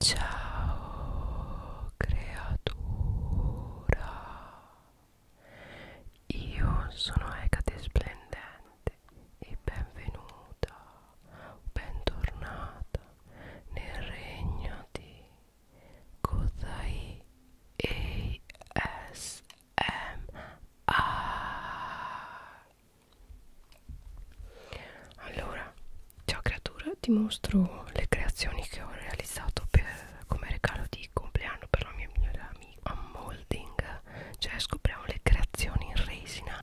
Ciao creatura, io sono Ecate Splendente e benvenuta, bentornata nel regno di Kodai ASMR allora ciao creatura ti mostro le creazioni che ho realizzato per, come regalo di compleanno per la mia migliore amica unmolding cioè scopriamo le creazioni in resina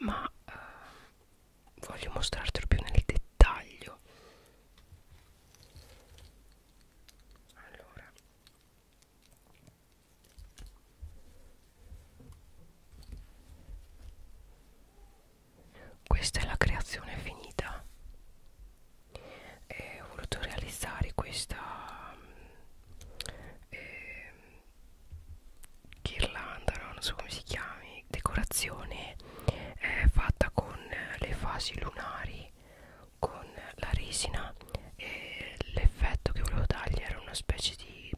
ma eh, voglio mostrartelo più nel dettaglio allora questa è la creazione finita. E ho voluto realizzare questa eh, ghirlanda, no? non so come si chiami, decorazione eh, fatta con le fasi lunari, con la resina e l'effetto che volevo dargli era una specie di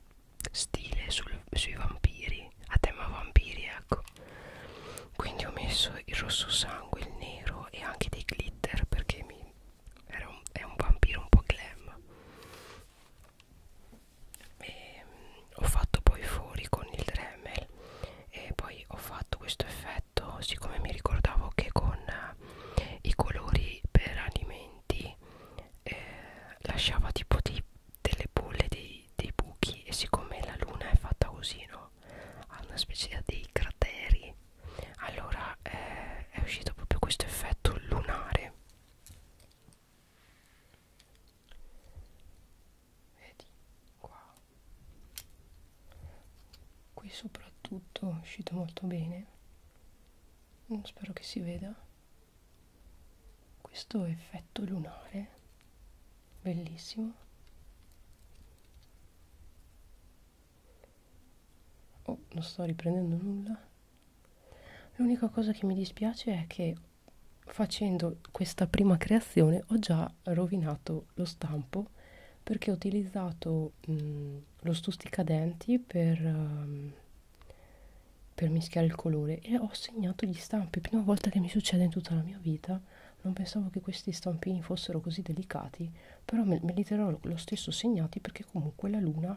stile sul, sui vampiri a tema vampiri ecco quindi ho messo il rosso sangue il nero e anche dei glitter perché mi era un, è un vampiro un po' glam e, mm, ho fatto poi fuori con il Dremel e poi ho fatto questo effetto siccome mi ricordavo che con eh, i colori per alimenti eh, lasciava tipo di, delle bolle di dei, dei buchi e siccome la luna è fatta così no ha una specie dei crateri allora eh, è uscito proprio questo effetto lunare vedi qua qui soprattutto è uscito molto bene spero che si veda questo effetto lunare bellissimo oh non sto riprendendo nulla l'unica cosa che mi dispiace è che facendo questa prima creazione ho già rovinato lo stampo perché ho utilizzato mh, mm, lo stuzzicadenti per, um, per mischiare il colore e ho segnato gli stampi, prima volta che mi succede in tutta la mia vita, non pensavo che questi stampini fossero così delicati, però me, me li terrò lo stesso segnati perché comunque la luna,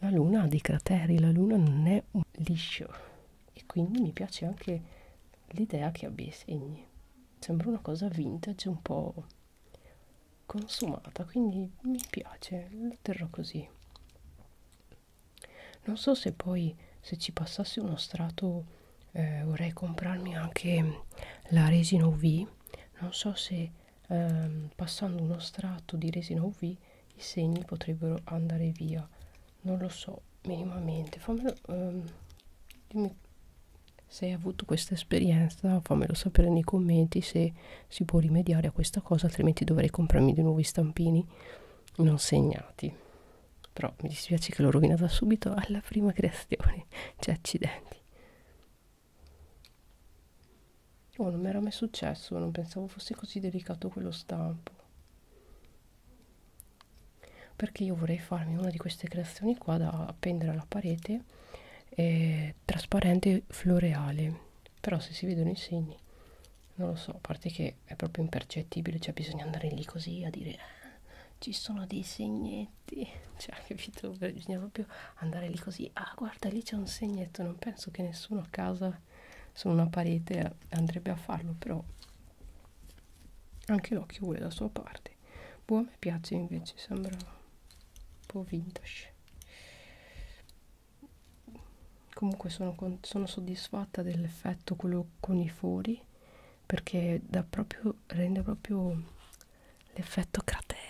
la luna ha dei crateri, la luna non è un liscio e quindi mi piace anche l'idea che abbia i segni. Sembra una cosa vintage un po' consumata, quindi mi piace, lo terrò così non so se poi se ci passasse uno strato eh, vorrei comprarmi anche la resina UV non so se ehm, passando uno strato di resina UV i segni potrebbero andare via non lo so minimamente fammelo ehm, dimmi se hai avuto questa esperienza fammelo sapere nei commenti se si può rimediare a questa cosa altrimenti dovrei comprarmi di nuovi stampini non segnati. Però mi dispiace che l'ho rovinata subito alla prima creazione. Cioè, accidenti. Oh, non mi era mai successo, non pensavo fosse così delicato quello stampo. Perché io vorrei farmi una di queste creazioni qua da appendere alla parete eh, trasparente floreale. Però se si vedono i segni non lo so, a parte che è proprio impercettibile, cioè bisogna andare lì così a dire ah, ci sono dei segnetti, cioè capito, cioè, bisogna proprio andare lì così, ah guarda lì c'è un segnetto, non penso che nessuno a casa su una parete andrebbe a farlo, però anche l'occhio vuole la sua parte. Boh, a me piace invece, sembra un po' vintage comunque sono, con, sono soddisfatta dell'effetto quello con i fori perché dà proprio, rende proprio l'effetto cratere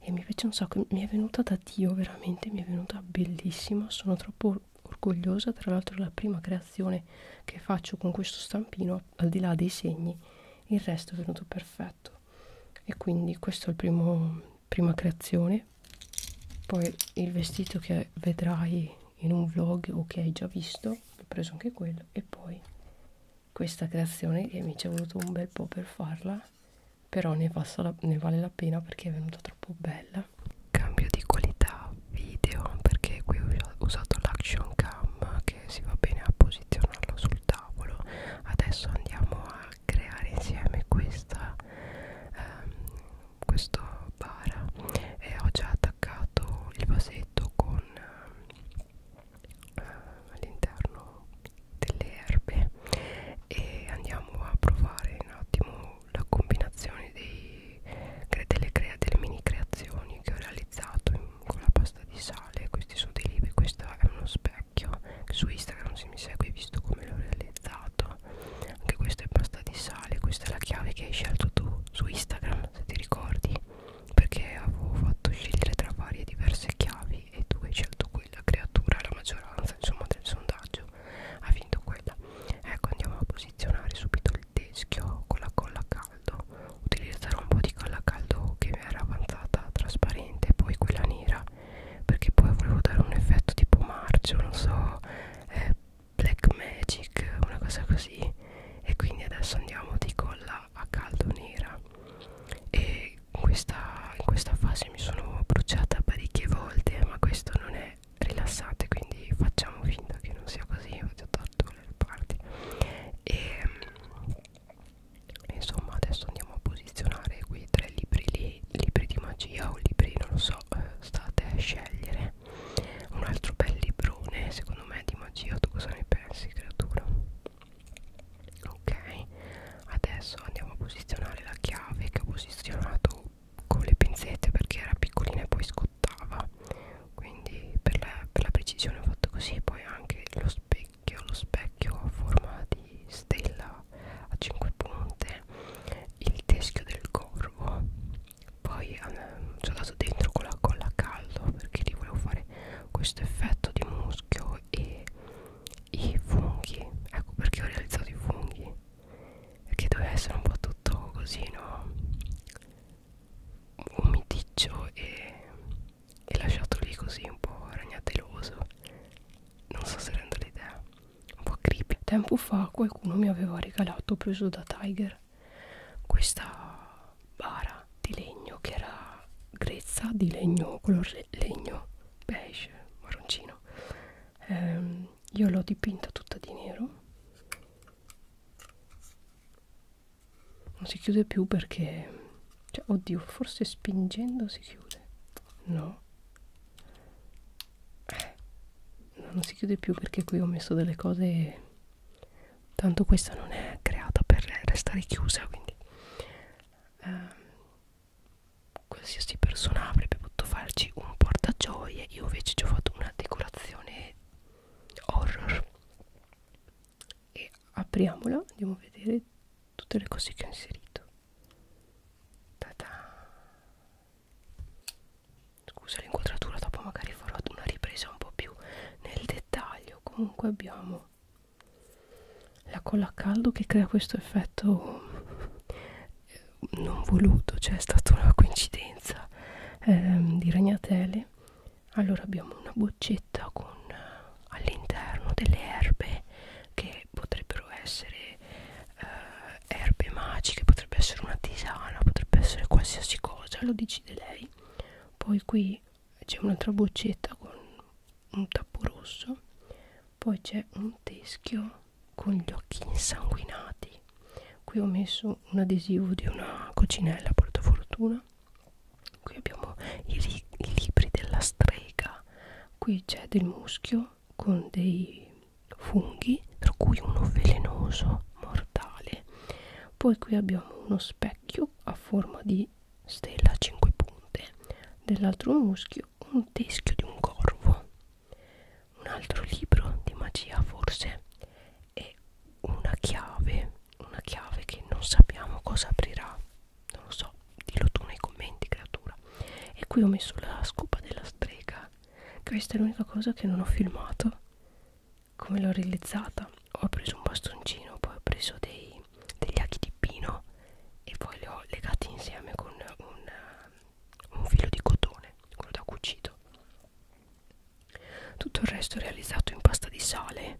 e mi piace un sacco mi è venuta da dio veramente mi è venuta bellissima sono troppo orgogliosa tra l'altro la prima creazione che faccio con questo stampino al di là dei segni il resto è venuto perfetto e quindi questo è il primo prima creazione poi il vestito che vedrai in un vlog o che hai già visto ho preso anche quello e poi questa creazione che mi ci è voluto un bel po' per farla però ne, la, ne vale la pena perché è venuta troppo bella cambio di qualità video perché qui ho usato l'action cam che si va bene a posizionarlo sul tavolo adesso andiamo a creare insieme questa era ehm, questo bara e ho già attaccato il vasetto con eh, all'interno delle erbe e andiamo a provare un attimo la combinazione dei, delle, crea, delle mini creazioni che ho realizzato in, con la pasta di sale questi sono dei libri, questo è uno spero vecchio su Instagram se mi segui hai visto come l'ho realizzato anche questa è pasta di sale questa è la chiave che hai scelto tu su Instagram se ti ricordi perché avevo fatto scegliere tra varie diverse chiavi e tu hai scelto quella creatura la maggioranza insomma del sondaggio ha vinto quella ecco andiamo a posizionare subito il teschio con la colla a caldo utilizzerò un po' di colla a caldo che mi era avanzata trasparente poi quella nera perché poi volevo dare un effetto tipo marcio non so eh, black magic una cosa così e quindi adesso andiamo di colla a caldo nera e in questa, in questa fase mi sono bruciata parecchie volte ma questo non è rilassante quindi facciamo finta che non sia così ho già tolto le parti e ehm, insomma adesso andiamo a posizionare quei tre libri lì libri di magia o libri non lo so eh, state a scegliere un altro bel librone secondo me di magia tu cosa ne pensi creatura ok adesso andiamo a posizionare la chiave che ho posizionato con le pinzette perché era piccolina e poi scottava quindi per la, per la precisione ho fatto così poi anche lo specchio specchio lo specchio a forma di stella a 5 punte il teschio del corvo poi um, ehm, ci ho dato dentro con la colla a caldo perché lì volevo fare questo effetto di muschio e i funghi ecco perché ho realizzato i funghi perché doveva essere un po' tutto così no umidiccio e, e lasciato lì così un po' ragnateloso non so se rendo l'idea un po' creepy tempo fa qualcuno mi aveva regalato preso da Tiger questa bara di legno che era grezza di legno color legno beige marroncino ehm, io l'ho dipinta tutta di nero non si chiude più perché cioè, oddio forse spingendo si chiude no eh, non si chiude più perché qui ho messo delle cose tanto questa non è creata per restare chiusa quindi eh, qualsiasi persona avrebbe potuto farci un portagioie io invece ci ho fatto una decorazione horror e apriamola andiamo a vedere tutte le cose che ho inserito Ta-da. scusa l'inquadratura dopo magari farò una ripresa un po' più nel dettaglio comunque abbiamo la colla a caldo che crea questo effetto eh, non voluto cioè è stata una coincidenza ehm, di ragnatele allora abbiamo una boccetta con all'interno delle erbe che potrebbero essere eh, erbe magiche, potrebbe essere una tisana, potrebbe essere qualsiasi cosa, lo decide lei. Poi qui c'è un'altra boccetta con un tappo rosso, poi c'è un teschio con gli occhi insanguinati. Qui ho messo un adesivo di una cocinella portafortuna qui abbiamo i, li i libri della strega qui c'è del muschio con dei funghi tra cui uno velenoso mortale poi qui abbiamo uno specchio a forma di stella a 5 punte dell'altro muschio un teschio di un corvo un altro libro di magia forse e una chiave una chiave che non sappiamo cosa aprirà non lo so, dillo tu nei commenti creatura e qui ho messo la scopa della strega questa è l'unica cosa che non ho filmato come l'ho realizzata ho preso un bastoncino poi ho preso dei, degli aghi di pino e poi li ho legati insieme con un, um, un filo di cotone quello da cucito tutto il resto è realizzato in pasta di sale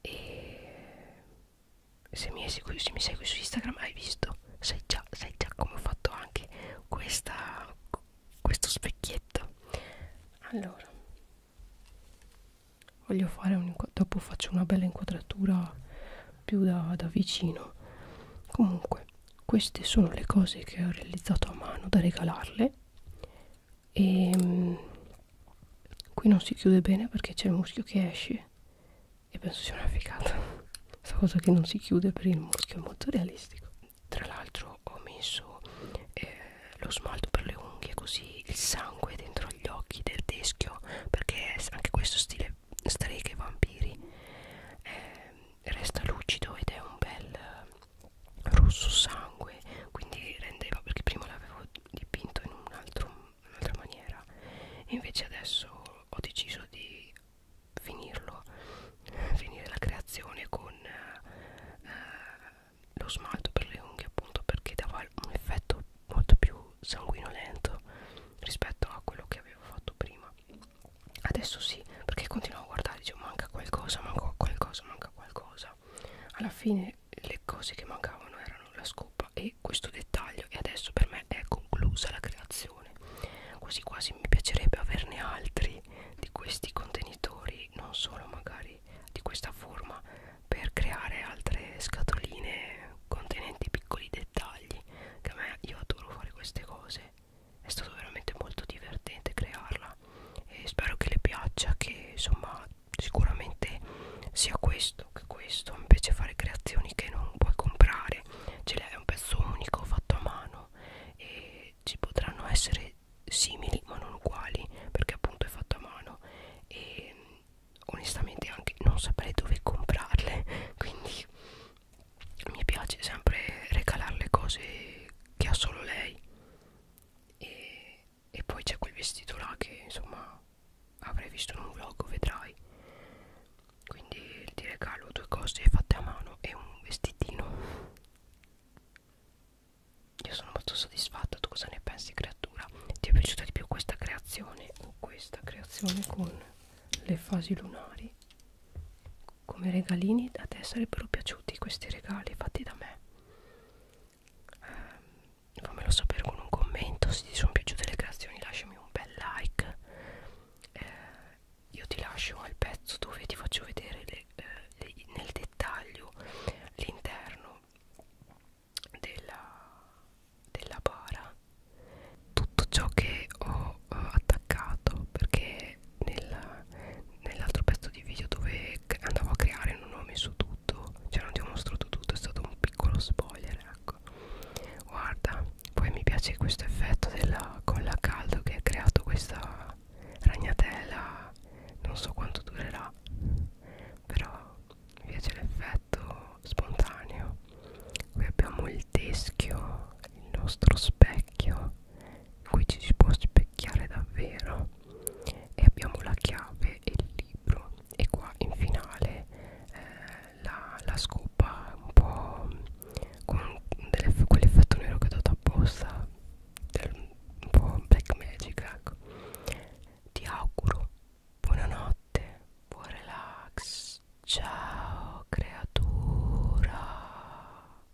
e se mi, esegui, se mi segui su Instagram hai visto sai già, sai già come ho fatto anche questa, questo specchietto allora voglio fare un dopo faccio una bella inquadratura più da, da vicino comunque queste sono le cose che ho realizzato a mano da regalarle e ehm, qui non si chiude bene perché c'è il muschio che esce e penso sia una figata questa cosa che non si chiude per il muschio è molto realistico tra l'altro ho messo eh, lo smalto per le unghie così il sangue dentro gli occhi del teschio perché anche questo stile streghe e vampiri eh, resta lucido ed è un bel rosso sangue quindi rendeva perché prima l'avevo dipinto in un'altra un maniera e invece adesso ho deciso di finirlo finire la creazione con eh, lo smalto per le unghie appunto perché dava un effetto molto più sanguinolento rispetto a quello che avevo fatto prima adesso sì perché continuo a guardare dicevo manca qualcosa manca qualcosa manca qualcosa alla fine le cose che mancavano erano la scopa e questo dettaglio e adesso per me è conclusa la creazione quasi quasi mi piacerebbe averne altri di questi contenitori non solo magari di questa forma per creare altre scatoline contenenti piccoli dettagli che a me io adoro fare queste cose è stato veramente molto divertente crearla nuova e spero che le piaccia che insomma sicuramente sia questo che questo invece fare creazioni che non puoi comprare ce l'hai un pezzo unico fatto a mano e ci potranno essere simili ma non uguali perché appunto è fatto a mano e onestamente anche non saprei dove comprarle quindi mi piace sempre regalare le cose che ha solo lei e e poi c'è quel vestito là che insomma avrei visto in un vlog vedrai quindi ti regalo due cose fatte a mano e un vestitino io sono molto soddisfatta tu cosa ne pensi creatura ti è piaciuta di più questa creazione o questa creazione con le fasi lunari come regalini a te sarebbero piaciuti questi regali fatti da me eh, fammelo sapere con un commento se ti sono piaciute le creazioni lasciami un bel like eh, io ti lascio al pezzo dove ti faccio vedere le, eh, le, nel dettaglio l'interno della, della bara tutto ciò che ho, ho eh, attaccato perché nell'altro nell pezzo di video dove andavo a creare non ho messo tutto cioè non ti ho mostrato tutto è stato un piccolo spoiler ecco guarda poi mi piace questo effetto della colla caldo che ha creato questa ragnatela non so quanto durerà però mi piace l'effetto spontaneo qui abbiamo il teschio il nostro specchio qui ci si può specchiare davvero e abbiamo la chiave e il libro e qua in finale eh, la, la scopa un po' con quell'effetto nero che ho dato apposta un po' black magic ecco ti auguro buonanotte buon relax ciao creatura